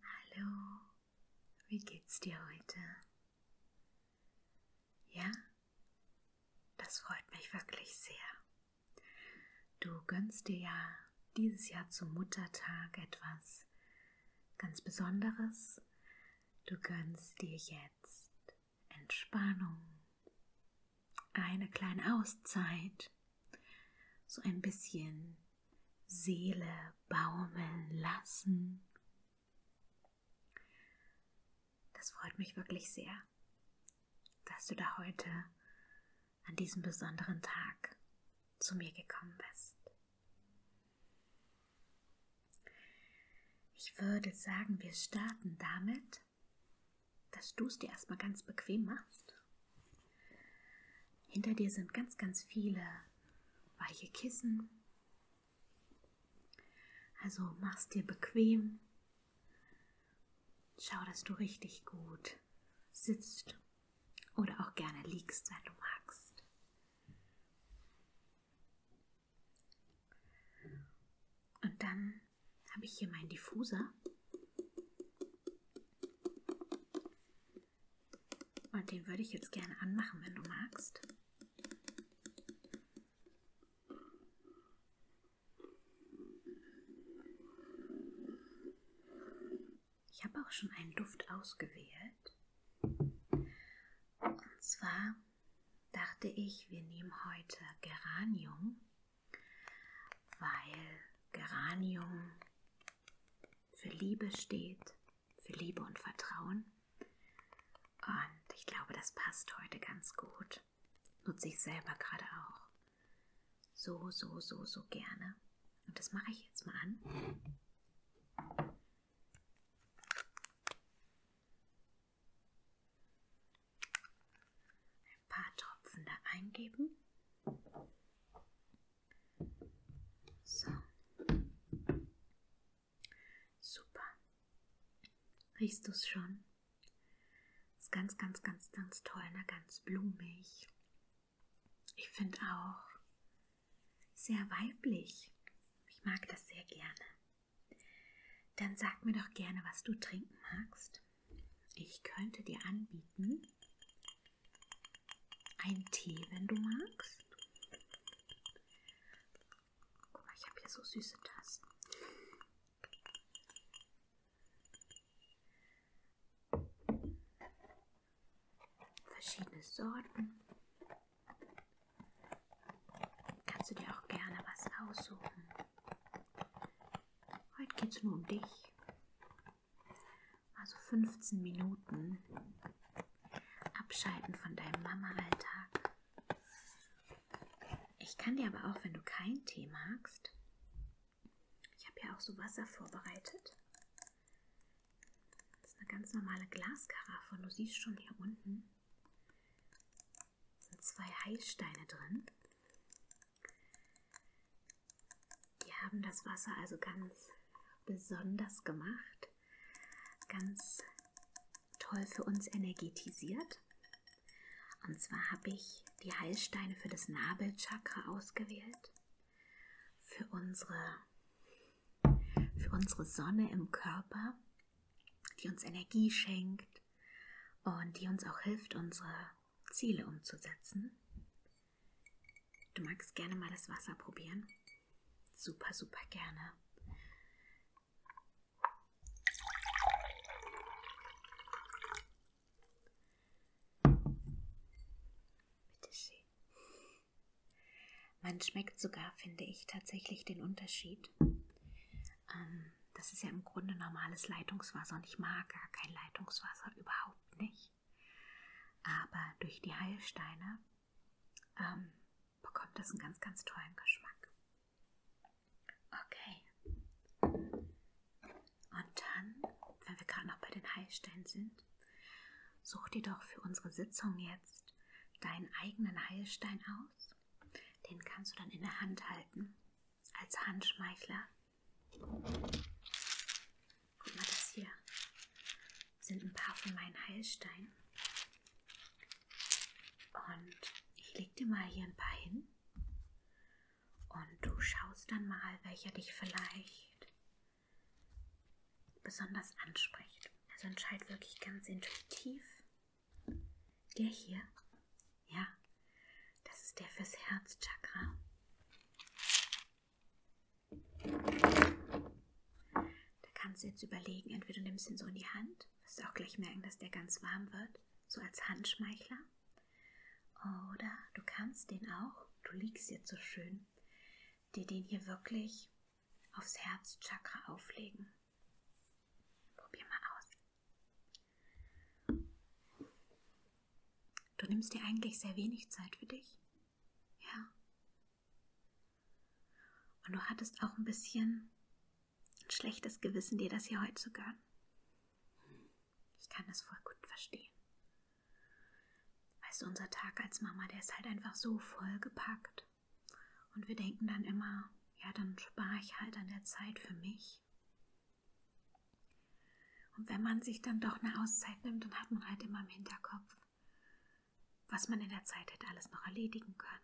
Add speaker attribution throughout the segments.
Speaker 1: Hallo, wie geht's dir heute? Ja, das freut mich wirklich sehr. Du gönnst dir ja dieses Jahr zum Muttertag etwas ganz Besonderes. Du gönnst dir jetzt Entspannung, eine kleine Auszeit, so ein bisschen Seele baumeln lassen. Das freut mich wirklich sehr, dass du da heute an diesem besonderen Tag zu mir gekommen bist. Ich würde sagen, wir starten damit, dass du es dir erstmal ganz bequem machst hinter dir sind ganz, ganz viele weiche Kissen. Also mach's dir bequem. Schau, dass du richtig gut sitzt oder auch gerne liegst, wenn du magst. Und dann habe ich hier meinen Diffuser. Und den würde ich jetzt gerne anmachen, wenn du magst. Ich habe auch schon einen Duft ausgewählt. Und zwar dachte ich, wir nehmen heute Geranium, weil Geranium für Liebe steht, für Liebe und Vertrauen. Und ich glaube, das passt heute ganz gut. Nutze ich selber gerade auch. So, so, so, so gerne. Und das mache ich jetzt mal an. Ein paar Tropfen da eingeben. So. Super. Riechst du es schon? Ist ganz, ganz, ganz, ganz toll, ne? Ganz blumig. Ich finde auch sehr weiblich. Ich mag das sehr gerne. Dann sag mir doch gerne, was du trinken magst. Ich könnte dir anbieten einen Tee, wenn du magst. Guck mal, ich habe hier so süße Tassen. Verschiedene Sorten. Kannst du dir auch gerne was aussuchen. Heute geht es nur um dich also 15 Minuten abschalten von deinem Mama-Alltag. Ich kann dir aber auch, wenn du keinen Tee magst, ich habe ja auch so Wasser vorbereitet. Das ist eine ganz normale Glaskaraffe und du siehst schon hier unten sind zwei Heilsteine drin. Die haben das Wasser also ganz besonders gemacht, ganz toll für uns energetisiert. Und zwar habe ich die Heilsteine für das Nabelchakra ausgewählt, für unsere, für unsere Sonne im Körper, die uns Energie schenkt und die uns auch hilft, unsere Ziele umzusetzen. Du magst gerne mal das Wasser probieren? Super, super gerne. Bitte schön. Man schmeckt sogar, finde ich, tatsächlich den Unterschied. Ähm, das ist ja im Grunde normales Leitungswasser und ich mag gar kein Leitungswasser überhaupt nicht nicht. Aber durch die Heilsteine ähm, bekommt das einen ganz, ganz tollen Geschmack. Okay. Und dann, wenn wir gerade noch bei den Heilsteinen sind, such dir doch für unsere Sitzung jetzt deinen eigenen Heilstein aus. Den kannst du dann in der Hand halten, als Handschmeichler. Guck mal, das hier sind ein paar von meinen Heilsteinen. Und ich leg dir mal hier ein paar hin. Und du schaust dann mal, welcher dich vielleicht besonders anspricht. Also entscheid wirklich ganz intuitiv. Der hier, ja, das ist der fürs Herzchakra. Da kannst du jetzt überlegen, entweder du nimmst ihn so in die Hand, wirst auch gleich merken, dass der ganz warm wird, so als Handschmeichler. Oder du kannst den auch, du liegst jetzt so schön, dir den hier wirklich aufs Herzchakra auflegen. Probier mal aus. Du nimmst dir eigentlich sehr wenig Zeit für dich. Ja. Und du hattest auch ein bisschen ein schlechtes Gewissen, dir das hier heute zu gönnen. Ich kann das voll gut verstehen. Weißt du, unser Tag als Mama, der ist halt einfach so vollgepackt. Und wir denken dann immer, ja, dann spare ich halt an der Zeit für mich. Und wenn man sich dann doch eine Auszeit nimmt, dann hat man halt immer im Hinterkopf, was man in der Zeit hätte alles noch erledigen können.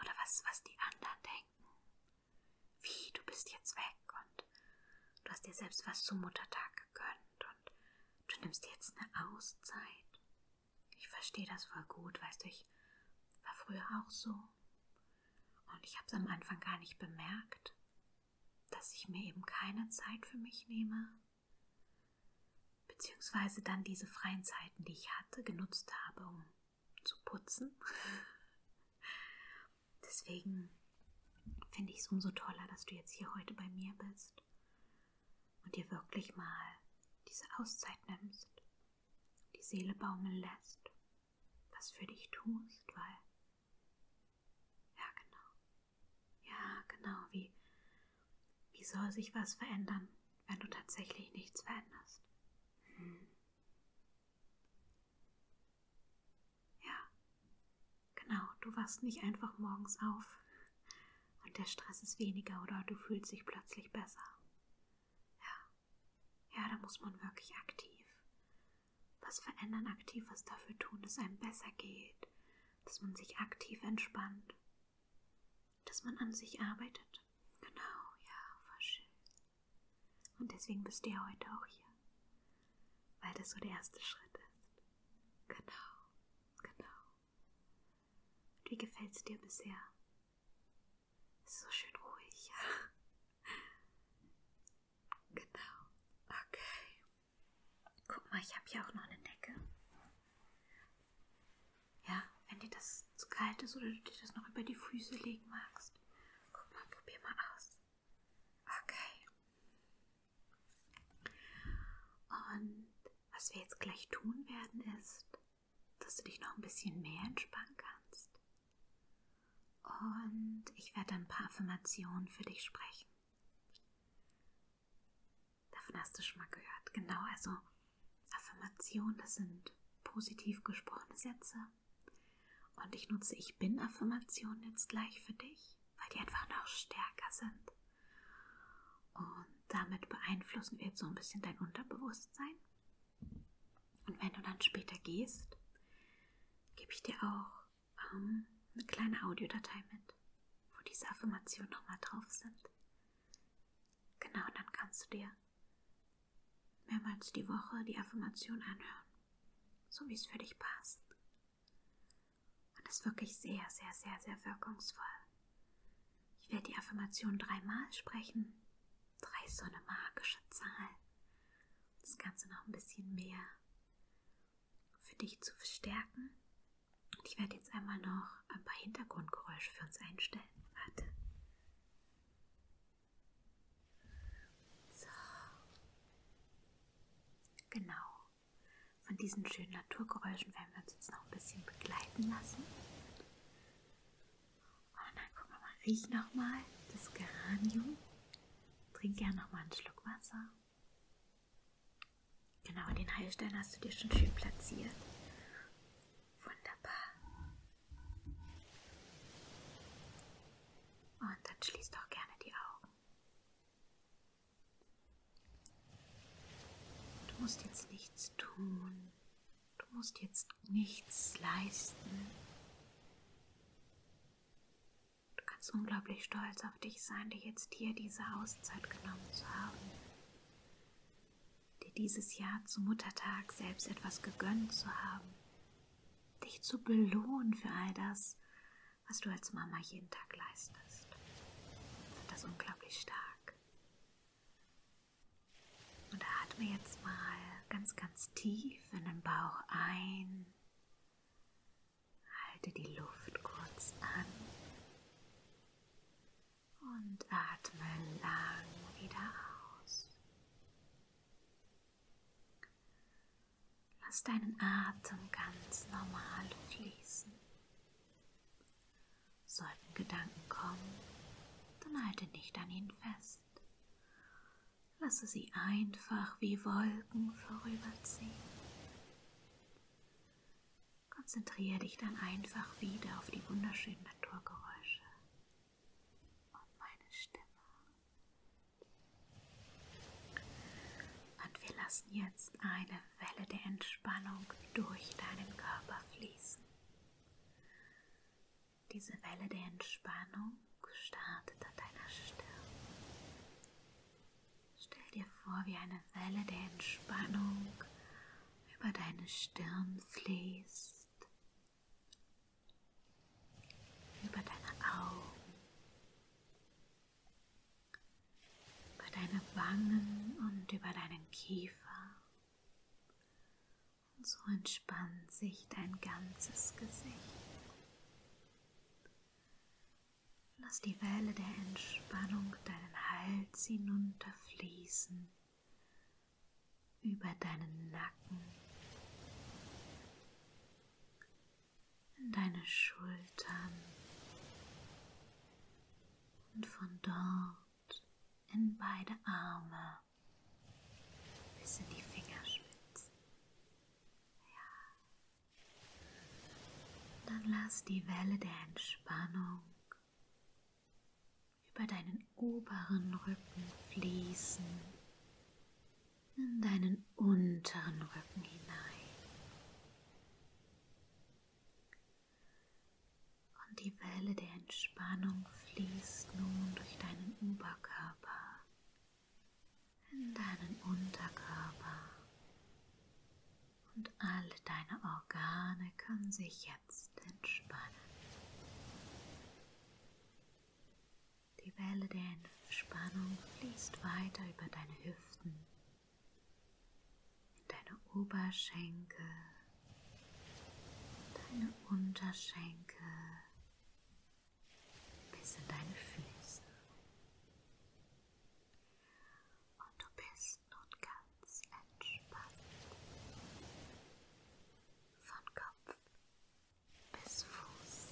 Speaker 1: Oder was, was die anderen denken. Wie, du bist jetzt weg und du hast dir selbst was zum Muttertag gegönnt und du nimmst jetzt eine Auszeit. Ich verstehe das voll gut, weißt du, ich war früher auch so. Und ich habe es am Anfang gar nicht bemerkt, dass ich mir eben keine Zeit für mich nehme Beziehungsweise dann diese freien Zeiten, die ich hatte, genutzt habe, um zu putzen. Deswegen finde ich es umso toller, dass du jetzt hier heute bei mir bist und dir wirklich mal diese Auszeit nimmst, die Seele baumeln lässt, was für dich tust, weil. Ja, genau. Ja, genau, wie, wie soll sich was verändern, wenn du tatsächlich nichts veränderst? Hm. Ja, genau, du wachst nicht einfach morgens auf und der Stress ist weniger oder du fühlst dich plötzlich besser. Ja, ja, da muss man wirklich aktiv was verändern, aktiv was dafür tun, dass es einem besser geht, dass man sich aktiv entspannt, dass man an sich arbeitet. Genau, ja, voll schön. Und deswegen bist du ja heute auch hier, weil das so der erste Schritt ist. Genau, genau. Und wie gefällt es dir bisher? Ist so schön ruhig, ja. Genau, okay. Guck mal, ich habe hier auch noch eine Decke. Ja, wenn dir das zu kalt ist oder du dir das noch über die Füße legen magst. Guck mal, probier mal aus. Okay. Und was wir jetzt gleich tun werden, ist, dass du dich noch ein bisschen mehr entspannen kannst. Und ich werde ein paar Affirmationen für dich sprechen. Davon hast du schon mal gehört. Genau, also Affirmationen, das sind positiv gesprochene Sätze. Und ich nutze Ich bin Affirmationen jetzt gleich für dich, weil die einfach noch stärker sind. Und damit beeinflussen wir jetzt so ein bisschen dein Unterbewusstsein. Und wenn du dann später gehst, gebe ich dir auch ähm, eine kleine Audiodatei mit, wo diese Affirmationen nochmal drauf sind. Genau, dann kannst du dir mehrmals die Woche die Affirmation anhören, so wie es für dich passt. Und das ist wirklich sehr, sehr, sehr, sehr wirkungsvoll. Ich werde die Affirmation dreimal sprechen. Drei ist so eine magische Zahl. Das Ganze noch ein bisschen mehr für dich zu verstärken und ich werde jetzt einmal noch ein paar Hintergrundgeräusche für uns einstellen. Warte. So. Genau. Von diesen schönen Naturgeräuschen werden wir uns jetzt noch ein bisschen begleiten lassen. Und oh dann gucken wir mal, riech nochmal das Geranium. Trink gerne nochmal einen Schluck Wasser. Genau, den Heilstein hast du dir schon schön platziert. Wunderbar. Und dann schließ doch gerne die Augen. Du musst jetzt nichts tun. Du musst jetzt nichts leisten. Du kannst unglaublich stolz auf dich sein, dir jetzt hier diese Auszeit genommen zu haben. Dir dieses Jahr zum Muttertag selbst etwas gegönnt zu haben. Dich zu belohnen für all das, was du als Mama jeden Tag leistest. Das ist unglaublich stark. Und atme jetzt mal ganz, ganz tief in den Bauch ein Halte die Luft kurz an und atme lang wieder aus. Lass deinen Atem ganz normal fließen. Sollten Gedanken kommen, dann halte nicht an ihnen fest. Lasse sie einfach wie Wolken vorüberziehen. Konzentriere dich dann einfach wieder auf die wunderschönen Naturgeräusche und meine Stimme. Und wir lassen jetzt eine Welle der Entspannung durch deinen Körper fließen. Diese Welle der Entspannung startet an deiner Stirn, Stell dir vor, wie eine Welle der Entspannung über deine Stirn fließt, über deine Augen, über deine Wangen und über deinen Kiefer. Und so entspannt sich dein ganzes Gesicht. Lass die Welle der Entspannung deinen Hals hinunterfließen, über deinen Nacken, in deine Schultern und von dort in beide Arme bis in die Fingerspitzen. Ja, dann lass die Welle der Entspannung über deinen oberen Rücken fließen, in deinen unteren Rücken hinein. Und die Welle der Entspannung fließt nun durch deinen Oberkörper, in deinen Unterkörper, und alle deine Organe können sich jetzt entspannen. Die Welle der Entspannung fließt weiter über deine Hüften, in deine Oberschenkel, deine Unterschenkel bis in deine Füße und du bist nun ganz entspannt. Von Kopf bis Fuß.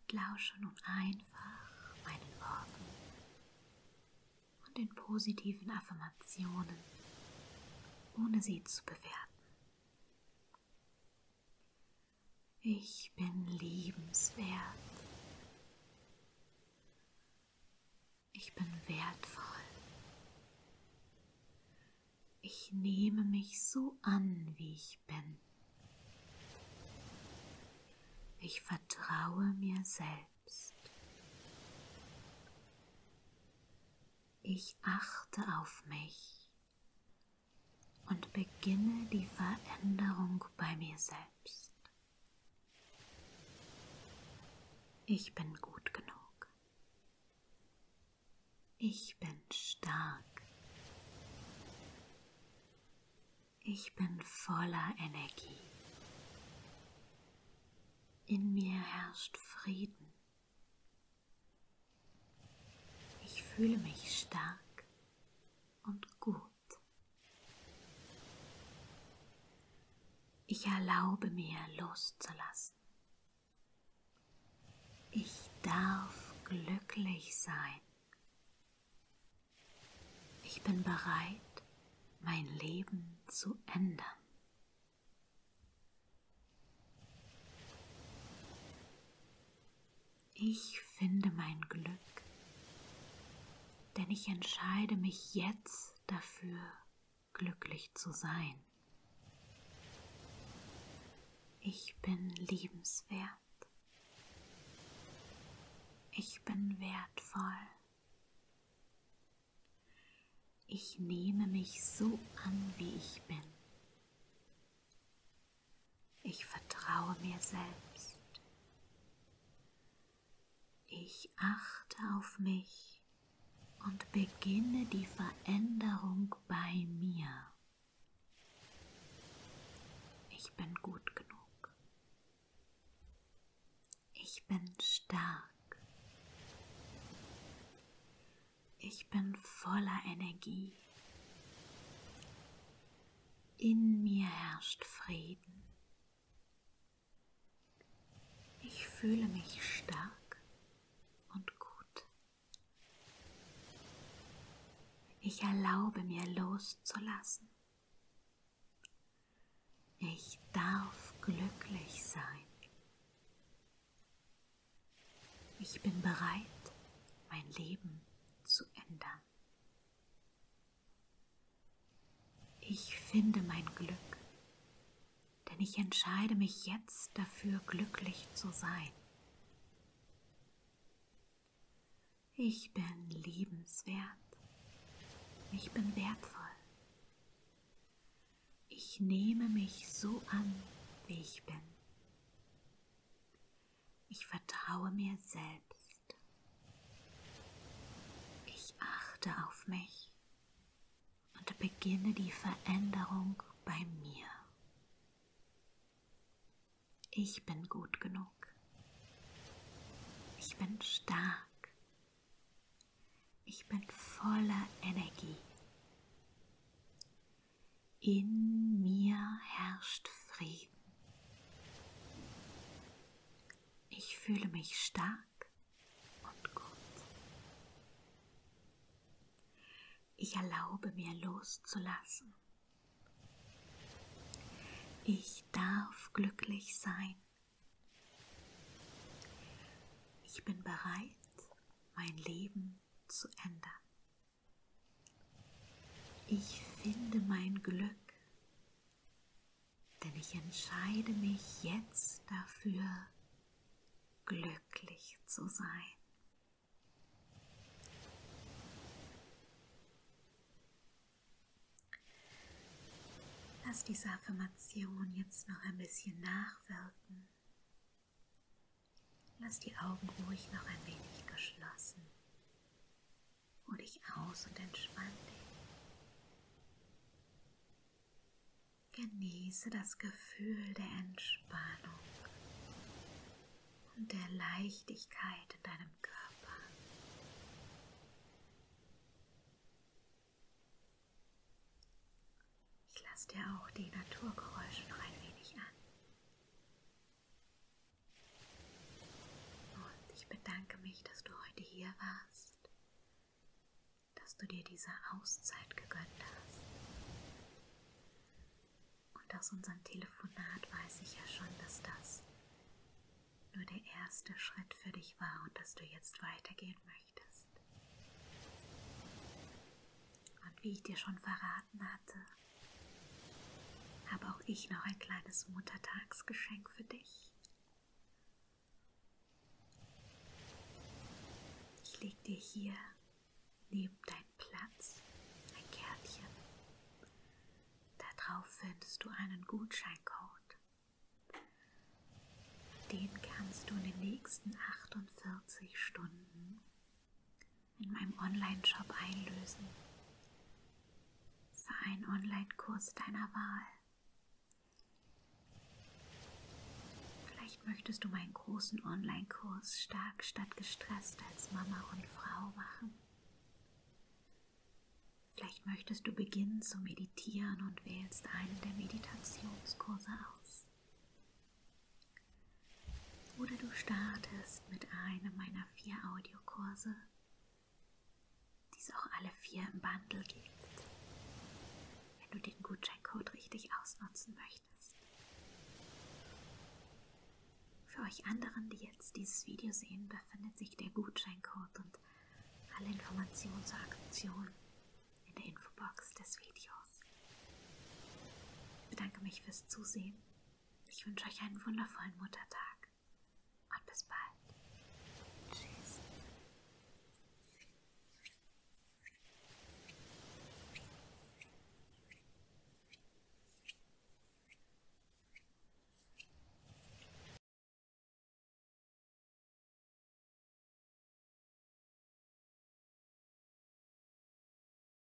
Speaker 1: Und lausche nun einfach meinen Worten und den positiven Affirmationen, ohne sie zu bewerten. Ich bin liebenswert. Ich bin wertvoll. Ich nehme mich so an, wie ich bin. Ich vertraue mir selbst. Ich achte auf mich und beginne die Veränderung bei mir selbst. Ich bin gut genug. Ich bin stark. Ich bin voller Energie. In mir herrscht Frieden. Ich fühle mich stark und gut. Ich erlaube mir loszulassen. Ich darf glücklich sein. Ich bin bereit, mein Leben zu ändern. Ich finde mein Glück, denn ich entscheide mich jetzt dafür, glücklich zu sein. Ich bin liebenswert. Ich bin wertvoll. Ich nehme mich so an, wie ich bin. Ich vertraue mir selbst. Ich achte auf mich und beginne die Veränderung bei mir. Ich bin gut genug. Ich bin stark. Ich bin voller Energie. In mir herrscht Frieden. Ich fühle mich stark und gut. Ich erlaube mir loszulassen. Ich darf glücklich sein. Ich bin bereit, mein Leben zu ändern. Ich finde mein Glück, denn ich entscheide mich jetzt dafür, glücklich zu sein. Ich bin liebenswert. Ich bin wertvoll. Ich nehme mich so an, wie ich bin. Ich vertraue mir selbst. Ich achte auf mich und beginne die Veränderung bei mir. Ich bin gut genug. Ich bin stark. Ich bin voller Energie. In mir herrscht Frieden. Ich fühle mich stark und gut. Ich erlaube mir loszulassen. Ich darf glücklich sein. Ich bin bereit, mein Leben zu ändern. Ich finde mein Glück, denn ich entscheide mich jetzt dafür, glücklich zu sein. Lass diese Affirmation jetzt noch ein bisschen nachwirken Lass die Augen ruhig noch ein wenig geschlossen. Ruh dich aus und entspann dich. Genieße das Gefühl der Entspannung und der Leichtigkeit in deinem Körper. Ich lasse dir auch die Naturgeräusche noch ein wenig an. Und ich bedanke mich, dass du heute hier warst, dass du dir diese Auszeit gegönnt hast. Und aus unserem Telefonat weiß ich ja schon, dass das nur der erste Schritt für dich war und dass du jetzt weitergehen möchtest. Und wie ich dir schon verraten verraten hatte, habe auch ich noch ein kleines Muttertagsgeschenk für dich. Ich lege dir hier neben deinen Platz ein Kärtchen. Darauf findest du einen Gutscheincode. Den kannst du in den nächsten 48 Stunden in meinem Online-Shop einlösen. Sei ein Online-Kurs deiner Wahl. Vielleicht möchtest du meinen großen Online-Kurs stark statt gestresst als Mama und Frau machen. Vielleicht möchtest du beginnen zu meditieren und wählst einen der Meditationskurse aus. Oder du startest mit einem meiner vier Audiokurse, die es auch alle vier im Bundle gibt, wenn du den Gutscheincode richtig ausnutzen möchtest. Für euch anderen, die jetzt dieses Video sehen, befindet sich der Gutscheincode und alle Informationen zur Aktion in der Infobox des Videos. Ich bedanke mich fürs Zusehen ich wünsche euch einen wundervollen Muttertag und bis bald. Tschüss.